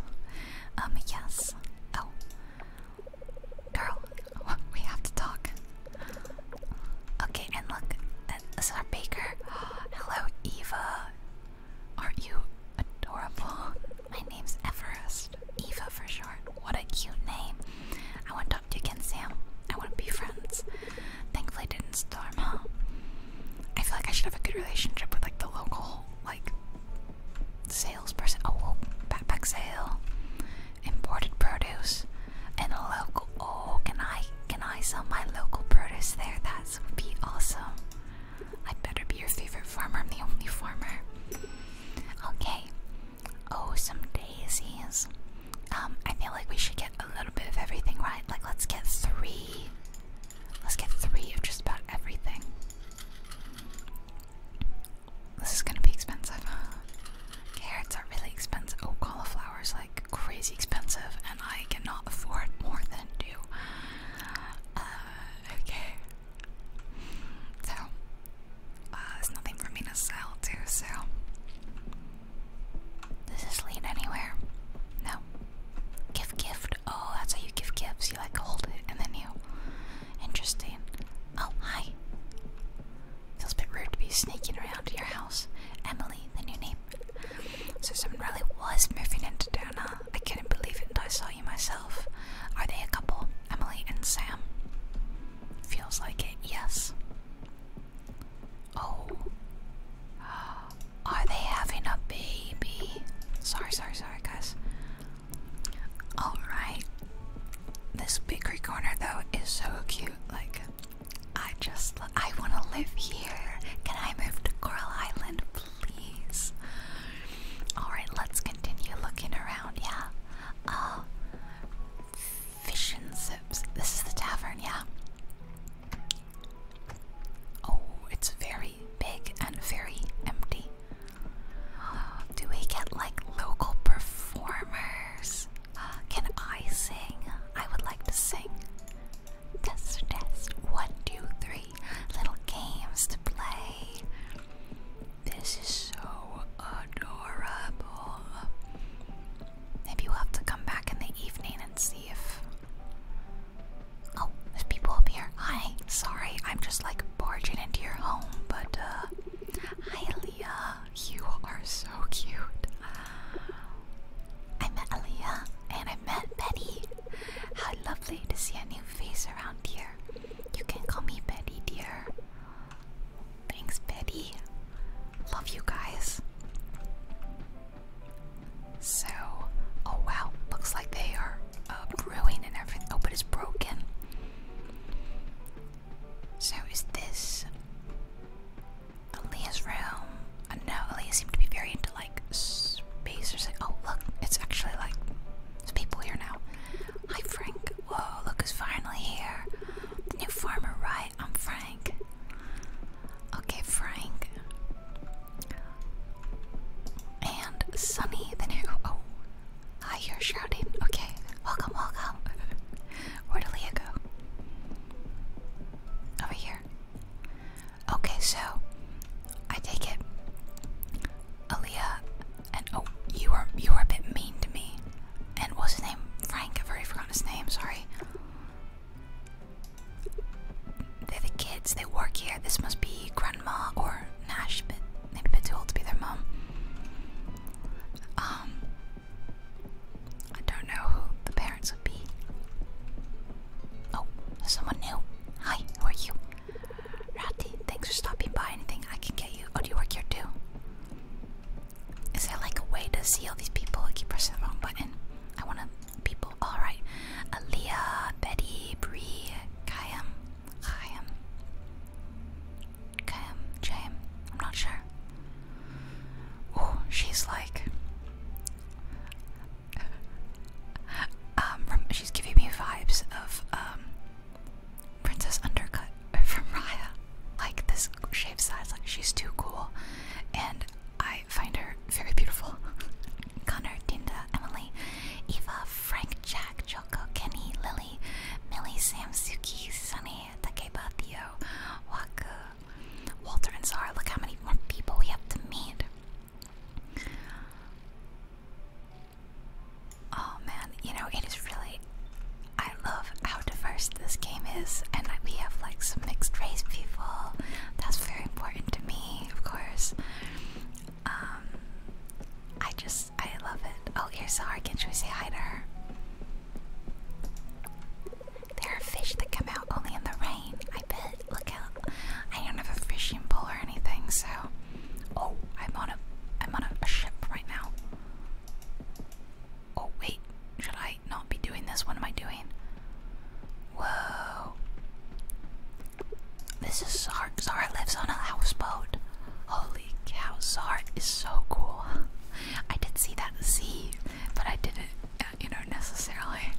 Um, yes. Oh, girl, we have to talk. Okay, and look, this is our baker. Hello, Eva. are you adorable? My name's Everest. Eva for short. What a cute name. I want to talk to you again, Sam. I want to be friends. Thankfully, didn't storm, huh? I feel like I should have a good relationship with like the local like salesperson. Oh, backpack sale, imported produce, and a local. Oh, can I can I sell my local produce there? That would be awesome. I better be your favorite farmer. I'm the only farmer. Okay. Oh, some daisies. Um, I feel like we should get a little bit of everything, right? Like, let's get three let Let's get three of just about everything. This is gonna be expensive. Carrots are really expensive. Oh, cauliflowers like crazy expensive, and I cannot afford more than two. Uh, okay. So, uh, there's nothing for me to sell, too, so does this lead anywhere? No. Give gift. Oh, that's how you give gifts. You like hold it and then you. Interesting. Oh, hi. Feels a bit rude to be sneaking around your house. Emily, the new name. So, someone really was moving into town, I couldn't believe it until I saw you myself. Are they a couple? Emily and Sam? Feels like it, yes. Oh. Are they having a baby? Sorry, sorry, sorry, guys. Alright. This bakery corner, though, is so cute. Like, I just, I want to live here. Can I move to Coral Island, please? Alright, let's continue looking around, yeah. Uh, fish and sips. This is the tavern, yeah. Oh, it's very big and very empty. Do we get like local performers? Can I sing? I would like to sing. Test, test. One, two, three. Little games to play. This is so adorable. Maybe we'll have to come back in the evening and see if Oh, there's people up here. Hi. Sorry, I'm just like barging into your home, but uh hi Aaliyah. You are so cute. I met Aaliyah and I met Betty. How lovely to see a new face around here. You can call me Betty, dear. Thanks, Betty. Love you guys. So, oh wow, looks like they are uh, brewing and everything. Oh, but it's broken. So, is this Aaliyah's room? I uh, do seemed to be very into like space Oh, look, it's actually like there's people here now. Hi, Frank. Whoa, look who's finally here. The new farmer, right? I'm Frank. Frank. Okay, Frank. And Sunny, the new. Oh, hi, you're shouting. Okay, welcome, welcome. Where did Leah go? Over here. Okay, so I take it. Aaliyah and oh you were you were a bit mean to me. And what's his name? Frank, I've already forgotten his name, sorry. They're the kids, they work here. This must be grandma or Nash, but maybe a bit too old to be their mom. Um, I don't know who the parents would be. Oh, someone new. Hi, who are you? Ratty, thanks for stopping by. Anything I can get you? Oh, do you work here too? Is there like a way to see all these people? I keep pressing the wrong button. I want to people. Alright. Aaliyah, Betty, Bree, Kayam, Kayam, Kayam, James. I'm not sure. Oh, she's like. Um, she's giving me vibes of um, Princess Undercut from Raya. Like this shaved size, like she's too cool, and I I find her very beautiful. Connor, Dinda, Emily, Eva, Frank, Jack, Joko, Kenny, Lily, Millie, Sam, Suki, Sunny, Takeba, Theo, Waku, Walter, and Zara. Look how many more people we have to meet. Oh man, you know, it is really. I love how diverse this game is, and we have like some mixed race people. That's very important to me me, of course. Um, I just, I love it. Oh, here's Sarkin. Should we say hi to her? There are fish that come out only in the rain. I bet. Look out! I don't have a fishing pole or anything, so. Oh, I'm on a, I'm on a ship right now. Oh wait, should I not be doing this? What am I doing? Whoa. This is Sark. Sark lives on a houseboat. Holy cow, Sark is so cool. I did see that sea, but I didn't, uh, you know, necessarily.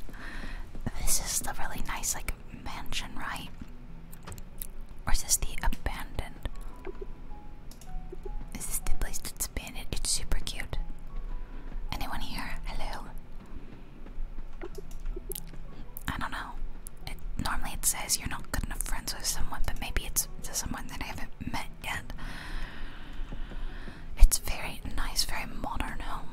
This is the really nice, like, mansion, right? Or is this the abandoned? Is this the place that's abandoned? It's super cute. Anyone here? Hello. I don't know. normally it says you're not good enough friends with someone, but maybe it's to someone that I haven't met yet. It's very nice, very modern home.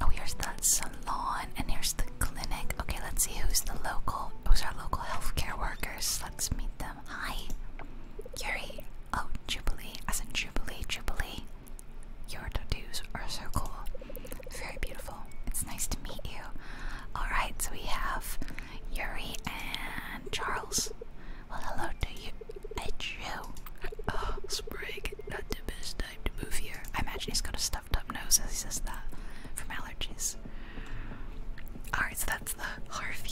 Oh, here's the salon and here's the clinic. Okay, let's see who's the local. Who's our local healthcare workers. Let's meet them. Hi, Yuri. Oh, Jubilee. As in Jubilee, Jubilee. Your tattoos are so cool. Very beautiful. It's nice to meet you. Alright, so we have Yuri and Charles. Well, hello to you. It's you. Oh, ah, Sprig, not the best time to move here. I imagine he's got a stuffed up nose as he says that from allergies. Alright, so that's the Harvey.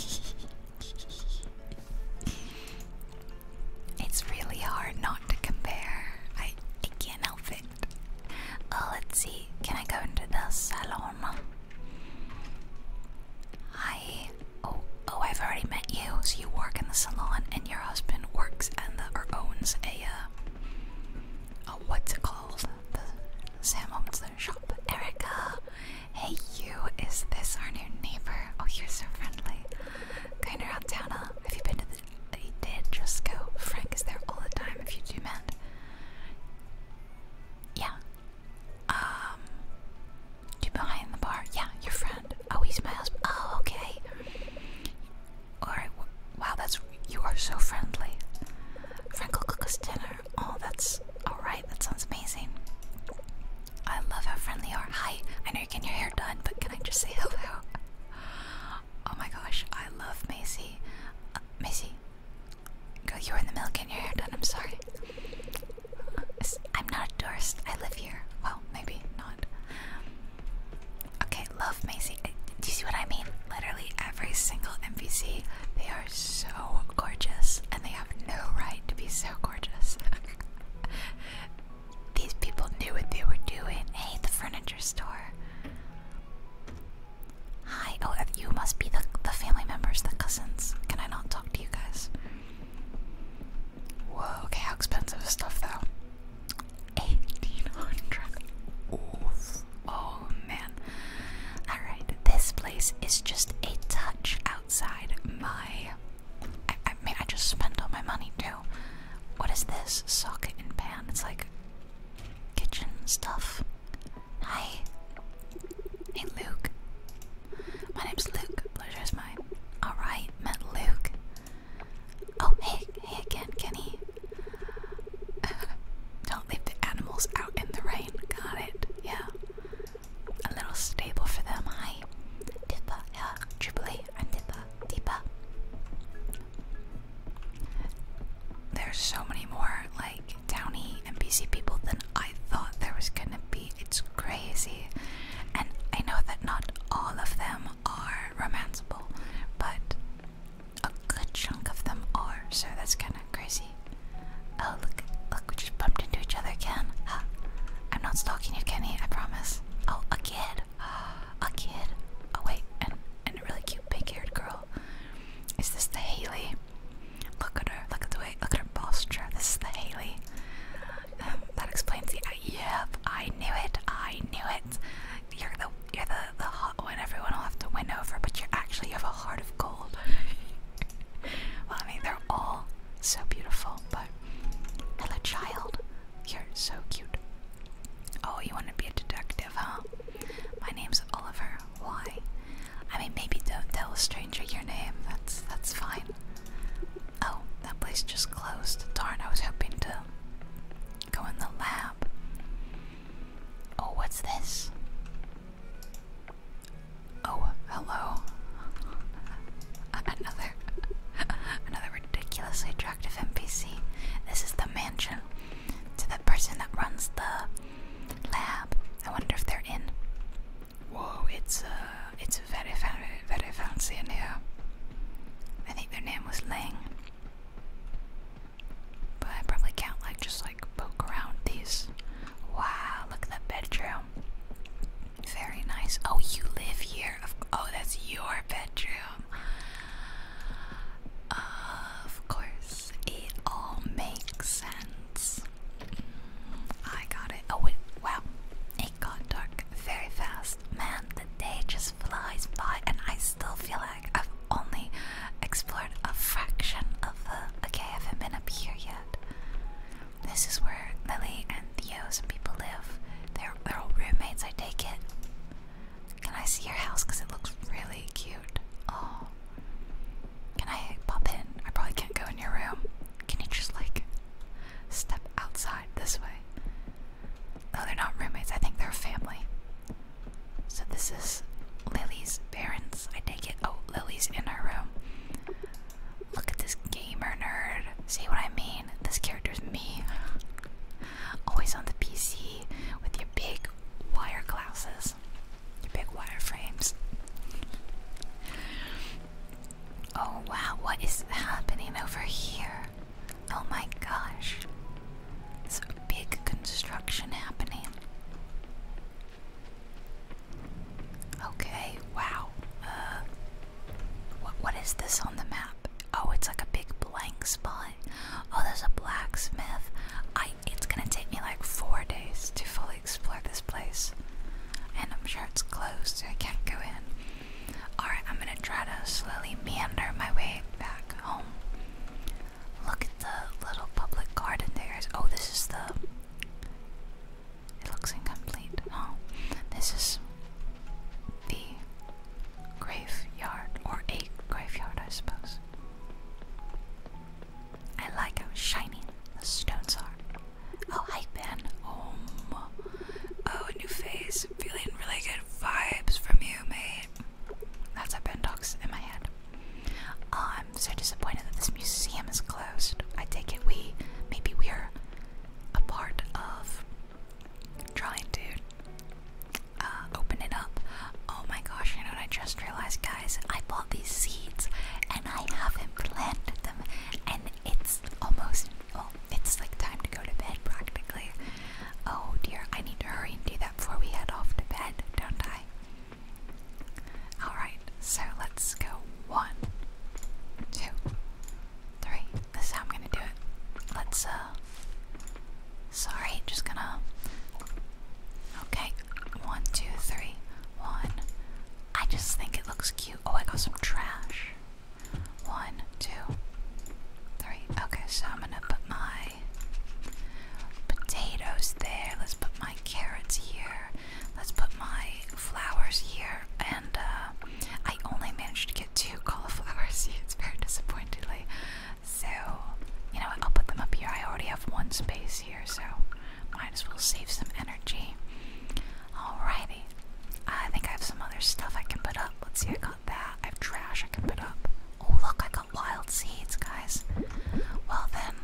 It's really hard not to compare. I can't help it. Oh, let's see. Can I go into the salon? Hi. Oh, oh, I've already met you. So you work in the salon, and your husband works and the, or owns a uh, what's it called? The Sam owns the shop. Erica. Hey, you. Is this our new neighbor? Oh, you're so friendly. Kind of out Have you been to they did just go. Frank is there all the time if you do mend. Yeah. Um you behind the bar. Yeah, your friend. Oh, he's my husband. Oh, okay. Alright, wow, that's you are so friendly. Frank will cook us dinner. Oh, that's alright, that sounds amazing. I love how friendly you are. Hi, I know you're getting your hair but can I just say hello? Oh my gosh, I love Macy. Uh, Macy, you you're in the milk and your hair done. I'm sorry. Uh, I'm not a tourist. I live here. Well, maybe not. Okay, love Macy. Uh, do you see what I mean? Literally every single NPC, they are so gorgeous, and they have no right to be so gorgeous. these people knew what they were doing. Hey, the furniture store. Hi. Oh, uh, you must be the the family members, the cousins. Can I not talk to you guys? Whoa. Okay. How expensive stuff though? Eighteen hundred. Oh man. All right. This place is just a touch outside my. I mean, I just spent all my money too. What is this? Socket and pan. It's like kitchen stuff. Hi. Hey, Luke. My name's Luke. Pleasure mine. Alright, met Luke. Oh, hey, hey again, Kenny. Don't leave the animals out in the rain. Got it. Yeah. A little stable for them. Hi. Tippa, yeah. Uh, Jubilee. I'm There's so many more like downy and NPC people than I thought there was gonna be. It's crazy. And I know that not all of them are romanceable, but a good chunk of them are, so that's kinda crazy. Oh look look we just bumped into each other again. I'm not stalking you, Kenny, I promise. Oh, a kid. Oh a kid. Oh wait, and a really cute big haired girl. Is this the Haley? Look at her. Look at the way. Look at her posture. This is the Haley. Um, that explains the. Uh, yep, I knew it. I knew it. You're the you're the the hot one. Everyone will have to win over, but you actually have a heart of gold. I mean they're all so beautiful, but little child, you're so cute. Oh, you want to be a detective, huh? My name's Oliver. Why? I mean, maybe don't tell a stranger your name. That's that's fine. Oh, that place just closed. Darn, I was hoping to go in the lab. Oh, what's this? Oh, hello. Another another ridiculously attractive NPC. This is the mansion to the person that runs the lab. I wonder if they're in. Whoa, it's uh, it's very fancy in here. I think their name was Ling, But I probably can't like just like poke around these. Wow, look at that bedroom. Very nice. Oh, you live here. Oh, that's your bedroom. Of course, it all makes sense. I got it. Oh, wait, wow. It got dark very fast. Man, the day just flies by, and I still feel like I've only explored a fraction of the. Okay, I have been up here yet. This is where Lily and Theo, some people live. They're, they're all roommates, I take it. Can I see your house? Because it looks really cute. Oh. Can I pop in? I probably can't go in your room. Can you just like step outside this way? Oh, they're not roommates. I think they're family. So this is Lily's parents. I take it. Oh, Lily's in her room. Look at this gamer nerd. See what I mean? This character's me always on the PC with your big wire glasses, your big wire frames. Oh wow, what is happening over here? Oh my gosh. There's a big construction happening. Okay, wow. Uh what what is this on the map? Oh, it's like a big blank spot. Oh, there's a blacksmith. I. It's gonna take me like four days to fully explore this place, and I'm sure it's closed, so I can't go in. All right, I'm gonna try to slowly meander my way back home. Look at the little public garden there. Oh, this is the. It looks incomplete. Oh, this is the graveyard, or a graveyard, I suppose. I like how shiny the stones are. Oh, hi, Ben. Oh, oh new face. Feeling really good vibes from you, mate. That's how Ben talks in my head. I'm so disappointed that this museum is closed. I take it we, maybe we're a part of trying to uh, open it up. Oh my gosh, you know what I just realized, guys? I bought these seeds and I haven't planted them, and it's almost, well, it's like time to go to bed practically. Oh dear, I need to hurry and do that before we head off to bed, don't I? Alright, so let's go one, two, three. This is how I'm gonna do it. Let's, uh, Sorry, just gonna. Okay, one, two, three, one. I just think it looks cute. Oh, I got some trash. One, two, three. Okay, so I'm gonna put my potatoes there. Let's put my carrots here. Let's put my flowers here. And uh, I only managed to get two cauliflower seeds very disappointingly. So, you know I'll put them up here. I already have one space here, so might as well save some energy. Alrighty. I think I have some other stuff I can put up. Let's see, I got that. I have trash I can put up. Oh, look, I got wild seeds, guys. Well, then,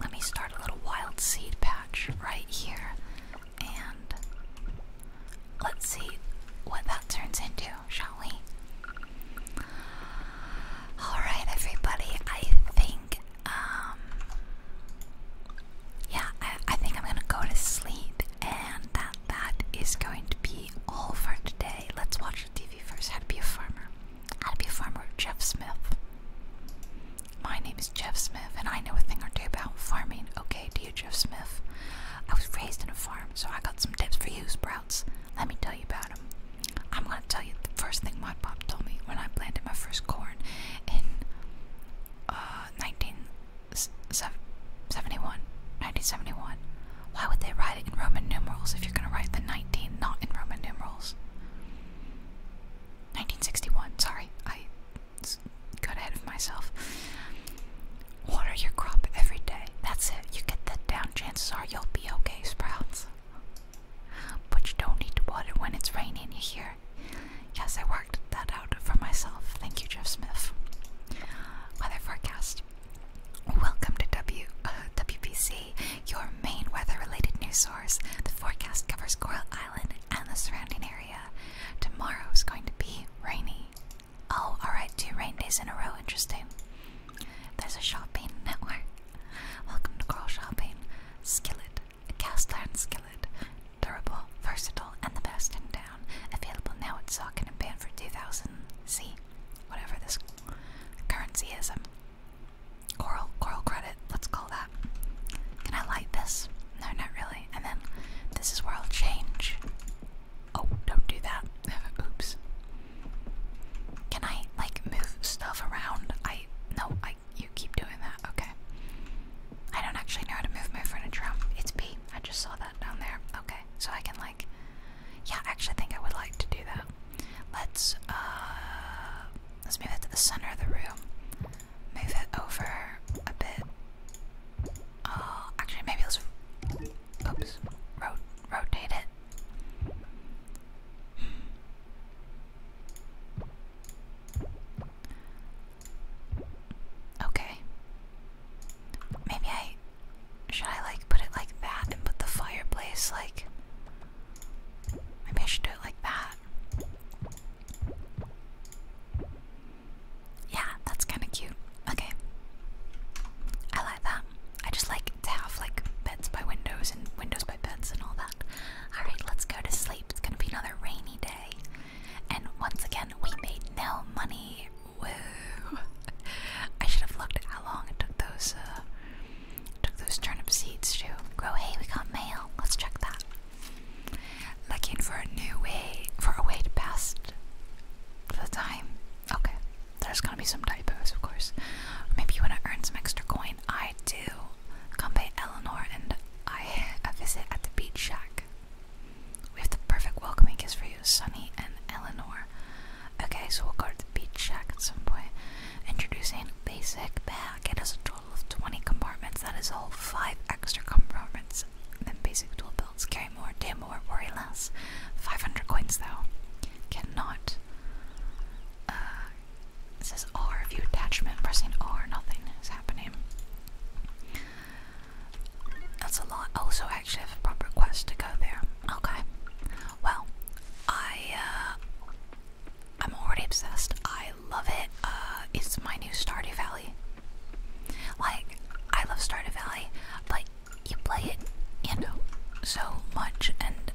let me start a little wild seed patch right here. And let's see what that turns into shall we? Alright, everybody, I think, um, yeah, I, think I'm gonna go to sleep, and that, that is going to be all for today. Let's watch TV first. How to be a farmer. i to be a farmer, Jeff Smith. My name is Jeff Smith, and I know a thing or two about farming. Okay, Jeff Smith. I was raised in a farm, so I got some tips for you, Sprouts. Let me tell you about them. I'm gonna tell you the first thing my pop told me when I planted my first corn in 1971. Uh, 1971. Why would they write it in Roman numerals if you're gonna write the 19 not in Roman numerals? 1961. Sorry, I got ahead of myself. Water your crop every day. That's it. You get that down. Chances are you'll be okay, sprouts. But you don't need to water when it's raining, you hear? Yes, I worked that out for myself. Thank you, Jeff Smith. Weather forecast. Welcome to w, uh, your main weather related news source. The forecast covers Coral Island and the surrounding area. Tomorrow's going to be rainy. Oh, alright, two rain days in a row, interesting. There's a shopping network. Welcome to Coral Shopping. Skillet, a cast iron skillet. Durable, versatile, and the best in town. Available now at Socket and Pan 2000 C. Whatever this currency is. Um, coral, coral credit, let's call that. Can I light this? No, not really. And then this is where I'll change Oh, don't do that. Oops. Can I like move stuff around? I no, I you keep doing that. Okay. I don't actually know how to move my furniture around. It's B. I just saw that down there. Okay. So I can like Yeah, I actually think I would like to do that. Let's uh let's move it to the center of the room. Move it over a bit. Oh, actually maybe let's Oops. rotate it. Okay. Maybe I should I like put it like that and put the fireplace like maybe I should do it like that yeah, that's kind of cute. Okay, I like that. I just like to have like beds by windows and windows by beds and all that. All right, let's go to sleep. It's gonna be another rainy day, and once again we made no money. Woo! I should have looked at how long it took those uh, took those turnip seeds to grow. Hey, we got mail. Let's check that. Looking for a new way for a way to pass the time. Okay, there's gonna be some typos, of course. Maybe you wanna earn some extra coin. I do. Come pay Eleanor and I a visit at the beach shack. We have the perfect welcoming kiss for you, Sunny and Eleanor. Okay, so we'll go to the beach shack at some point. Introducing basic bag. It has a total of 20 compartments. That is all 5 extra compartments than basic tool belt builds more, do more, worry less. 500 coins though. Cannot. Uh, it R, view attachment, pressing R, nothing is happening. That's a lot. Also, actually, have a proper quest to go there. Okay. Well, I, uh, I'm already obsessed. I love it. Uh, it's my new Stardew Valley. Like, I love Stardew Valley, but you play it, you know, so much, and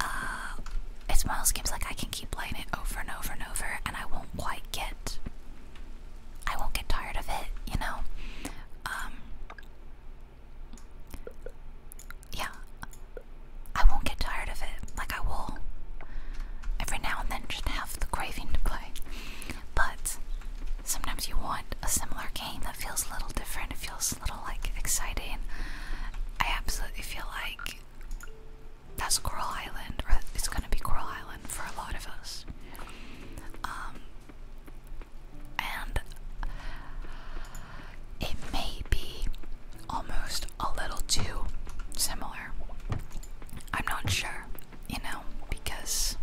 uh, it's one of those games like I can keep playing it over and over and over, and I won't quite get, I won't get tired of it, you know. Um, yeah, I won't get tired of it. Like I will, every now and then, just have the craving to play. But sometimes you want a similar game it feels a little different. It feels a little like exciting. I absolutely feel like that's Coral Island, it's gonna be Coral Island for a lot of us. Um, and it may be almost a little too similar. I'm not sure, you know, because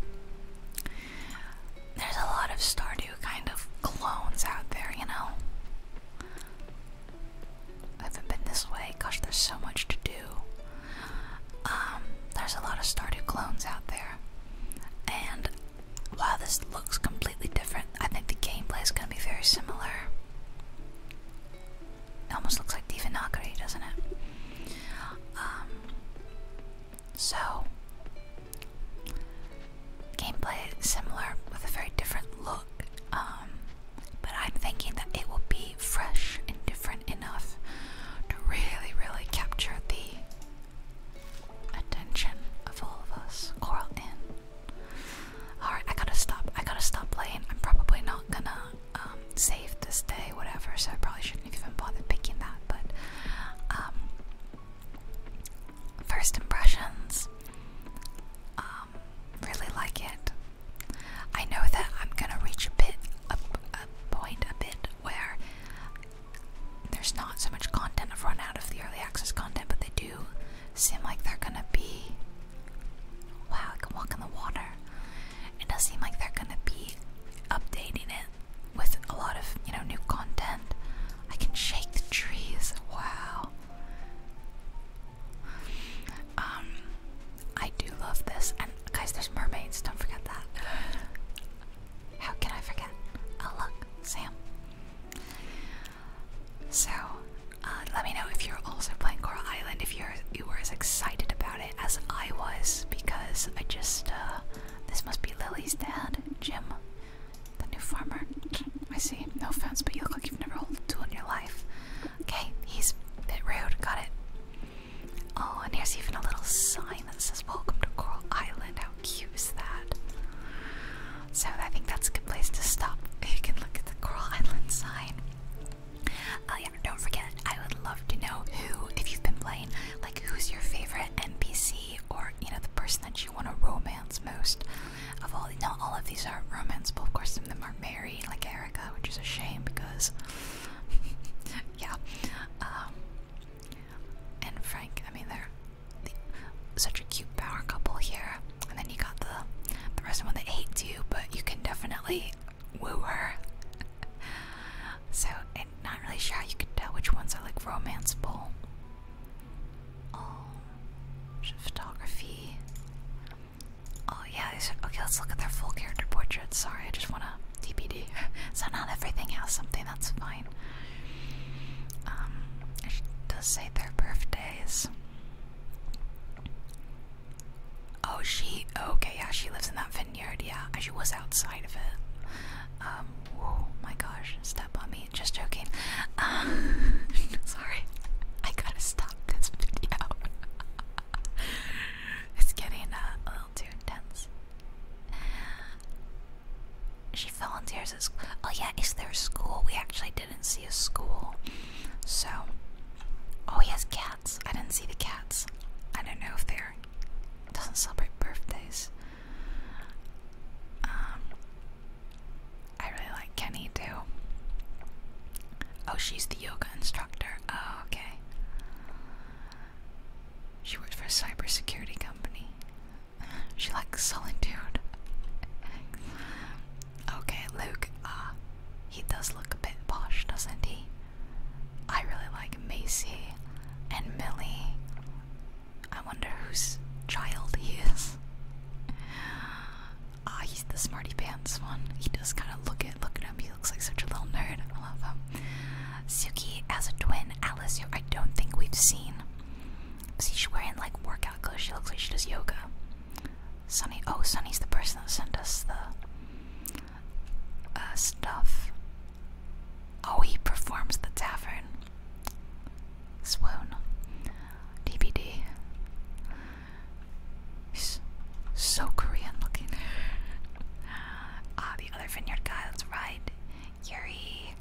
there's a lot of Stardew kind of clones out there, you know? I have been this way. Gosh, there's so much to do. Um, there's a lot of Stardew clones out there. And while this looks completely different, I think the gameplay is going to be very similar. It almost looks like Divinagari, doesn't it? Um, so, Gameplay similar with a very different look, um, but I'm thinking that it will be fresh and different enough to really, really capture the attention of all of us. Coral in. Alright, I gotta stop. I gotta stop playing. I'm probably not gonna um, save this day, whatever, so I probably shouldn't have even bothered picking that, but um, First impressions. Um, really like it. I know that I'm gonna reach a bit, a point, a bit where there's not so much content. I've run out of the early access content, but they do seem like they're gonna be. Wow, I can walk in the water. It does seem like they're gonna be updating it with a lot of, you know, new content. I can shake the trees. Wow. Um I do love this. And guys, there's mermaids, don't forget that. How can I forget? Oh look, Sam. So, uh, let me know if you're also playing Coral Island, if you're you were as excited about it as I was, because I just uh, this must be Lily's dad, Jim. The new farmer. I see. No offense, but you look like you've never held a tool in your life. Okay, he's a bit rude. Got it. Oh, and here's even a little sign that says "Welcome to Coral Island." How cute is that? So I think that's a good place to stop. You can look at the Coral Island sign. Oh yeah, don't forget. I would love to know who, if you've been playing, like who's your favorite NPC or you know the person that you want to romance most of all not all of these are romanceable of course some of them are married like Erica which is a shame because yeah um, and Frank I mean they're the, such a cute power couple here and then you got the the rest of them that hates you but you can definitely woo her so, not really sure how you can tell which ones are like romanceable. Oh, photography. Oh yeah, okay, let's look at their full character portraits. Sorry, I just wanna TBD. so not everything has something, that's fine. Um, does say their birthdays. Oh, she, okay, yeah, she lives in that vineyard, yeah, she was outside of it. Um, oh my gosh, step on me. Just joking. Uh, sorry, I gotta stop this video. it's getting uh, a little too intense. She fell in tears school. Oh yeah, is there a school? We actually didn't see a school. So, oh he has cats. I didn't see the cats. I don't know if they're, doesn't celebrate birthdays. Um, I really like Kenny too. Oh, she's the yoga instructor. Oh, okay. She works for a cybersecurity company. She likes solitude. okay, Luke. Ah, he does look a bit posh, doesn't he? I really like Macy and Millie I wonder whose child he is. Ah, he's the smarty pants one. He does kind of look at look at him. He looks like such a little nerd. I love him. Suki has a twin, Alice, who I don't think we've seen. See, she's wearing like workout clothes. She looks like she does yoga. Sunny, oh, Sunny's the person that sent us the uh, stuff. Oh, he performs the tavern. Swoon. DVD. so Korean looking. ah, the other vineyard guy, that's right. Yuri.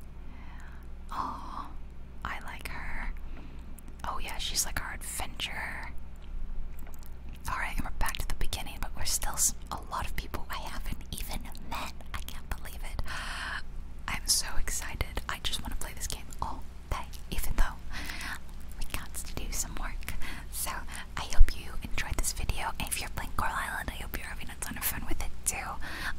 Oh, I like her. Oh, yeah, she's like our adventurer. Alright, and we're back to the beginning, but we're still a lot of people I haven't even met. I can't believe it. I'm so excited. I just want to play this game all day, even though we got to do some work. So I hope you enjoyed this video. if you're playing Coral Island, I hope you're having a ton of fun with it too.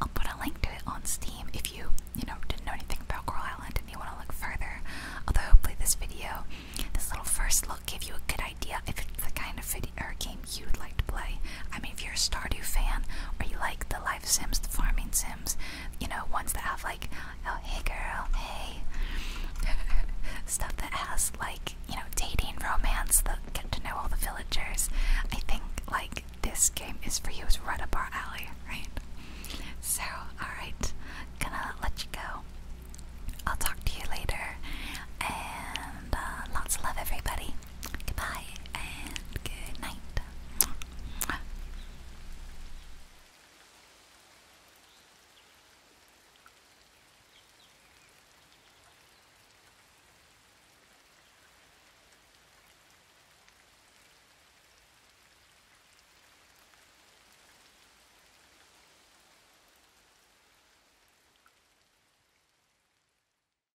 I'll put a link to it on Steam if you, you know, didn't know anything about Coral Island and you want to look further. Although hopefully this video, this little first look, gave you a good idea if it's the kind of video or game you would like to play. I mean, if you're a Stardew fan or you like the life sims, the farming sims, you know, ones that have like, oh, hey girl, hey, stuff that has like, you know, dating, romance, that get to know all the villagers, I think like this game is for you. It's right up our alley, right? So, alright, gonna let you go. I'll talk to you later. And uh, lots of love, everybody. Goodbye and good night.